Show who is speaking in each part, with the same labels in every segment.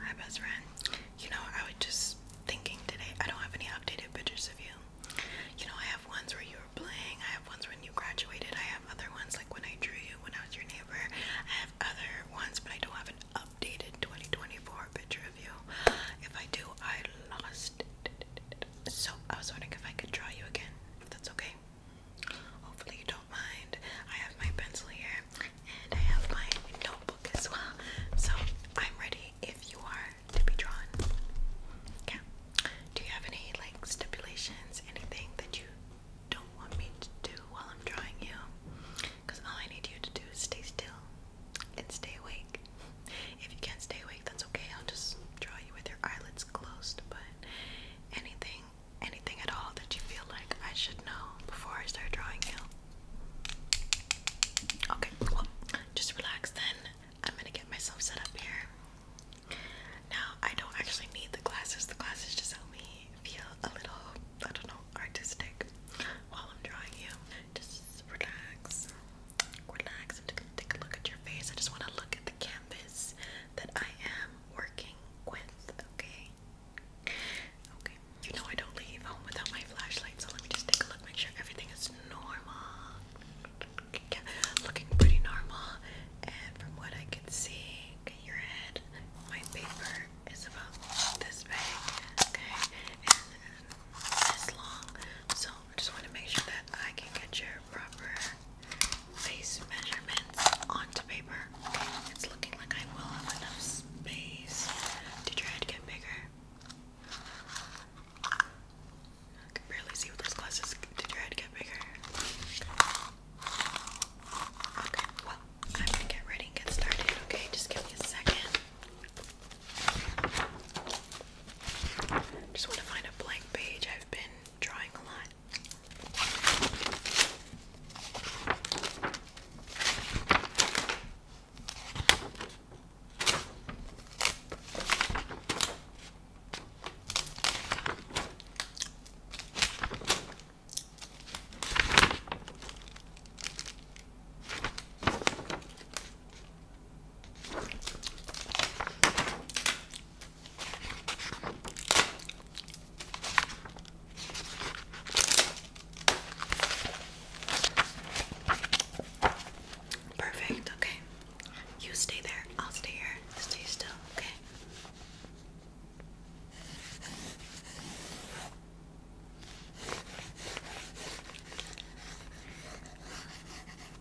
Speaker 1: Hi, best friend. You know, I was just thinking today, I don't have any updated pictures of you. You know, I have ones where you were playing, I have ones when you graduated, I have other ones like when I drew you, when I was your neighbor. I have other ones, but I don't have an updated 2024 picture of you. If I do, I lost it. So I was wondering if I could draw you again, if that's okay. Hopefully, you don't mind. I have my pencil here and I have my notebook as well. So, I'm ready if you are to be drawn. Yeah. Do you have any like stipulations? Anything that you don't want me to do while I'm drawing you? Because all I need you to do is stay still and stay awake. If you can't stay awake, that's okay. I'll just draw you with your eyelids closed. But anything anything, at all that you feel like I should know before I start drawing you? Okay, just relax then. I'm gonna get myself set up here. Now, I don't actually need the glasses, the glasses just help me feel a little, I don't know, artistic while I'm drawing you. Just relax, relax. take a look at your face. I just wanna look at canvas that I am working with, okay? Okay, you know I don't leave home without my flashlights. so let me just take a look, make sure everything is normal. looking pretty normal, and from what I can see, okay, your head, my paper is about this big, okay, and this long, so I just want to make sure that I can get your proper face measurements onto paper. It's looking like I will have enough space to try to get bigger. can barely see with those glasses to try to get bigger. Okay, well, I'm gonna get ready and get started, okay? Just give me a second. Just want to find a blank page. I've been drawing a lot. Perfect, okay. You stay there, I'll stay here. Stay still, okay?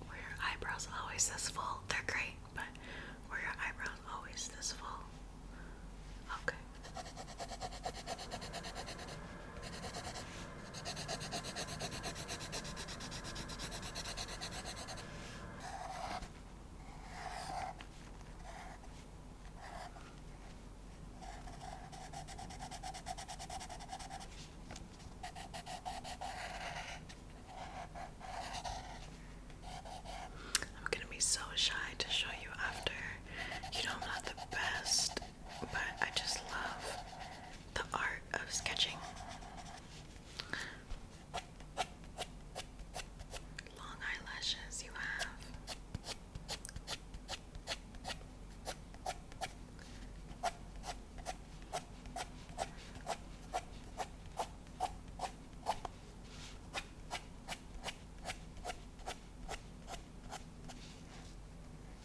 Speaker 1: Were your eyebrows always this full? They're great, but were your eyebrows always this full? Okay. I'm gonna be so shy to show you after. You know, I'm not the best, but I just love the art of sketching. Long eyelashes you have.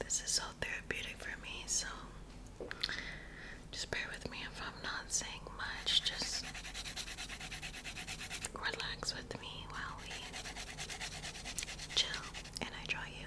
Speaker 1: This is so therapeutic for me, so just bear with me if I'm not saying much. Just relax with me while we chill and I draw you.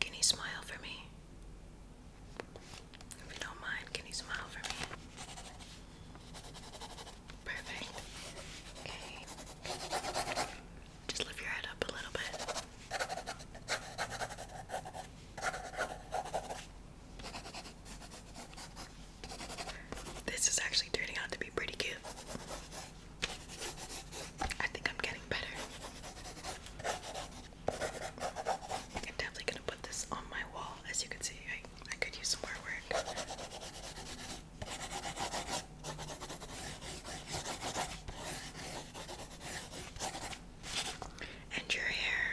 Speaker 1: Can you smile for me? If you don't mind, can you smile for me? Perfect. Okay. Just lift your head up a little bit. This is actually turning out to be pretty cute. I think I'm getting better. I'm definitely gonna put this on my wall. As you can see, I could use some more work. And your hair.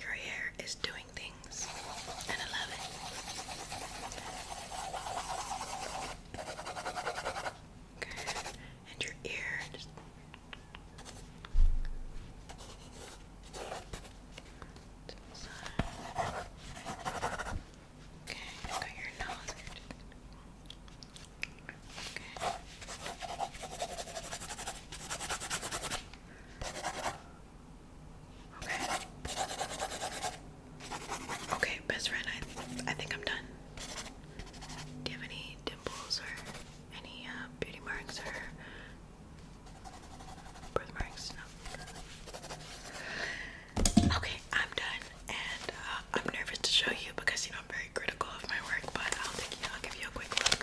Speaker 1: Your hair is doing things, and I love it. And your ear Okay, Okay. Okay. best friend, I I think I'm done. Do you have any dimples or any uh, beauty marks or birthmarks. No. Okay, I'm done, and uh, I'm nervous to show you because you know I'm very critical of my work, but I'll take you. I'll give you a quick look.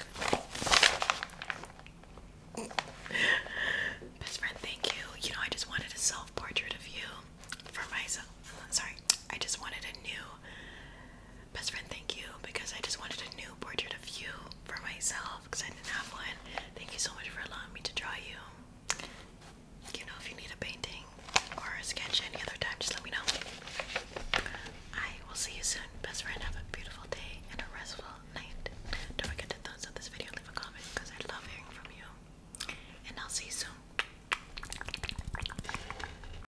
Speaker 1: Best friend, thank you. You know I just wanted a self portrait of you for myself. Uh, sorry, I just wanted a new Best friend, thank you because I just wanted a new portrait of you for myself because I didn't have one. Thank you so much for allowing me to draw you. You know, if you need a painting or a sketch any other time, just let me know. I will see you soon. Best friend, have a beautiful day and a restful night. Don't forget to thumbs up this video, leave a comment because I love hearing from you. And I'll see you soon.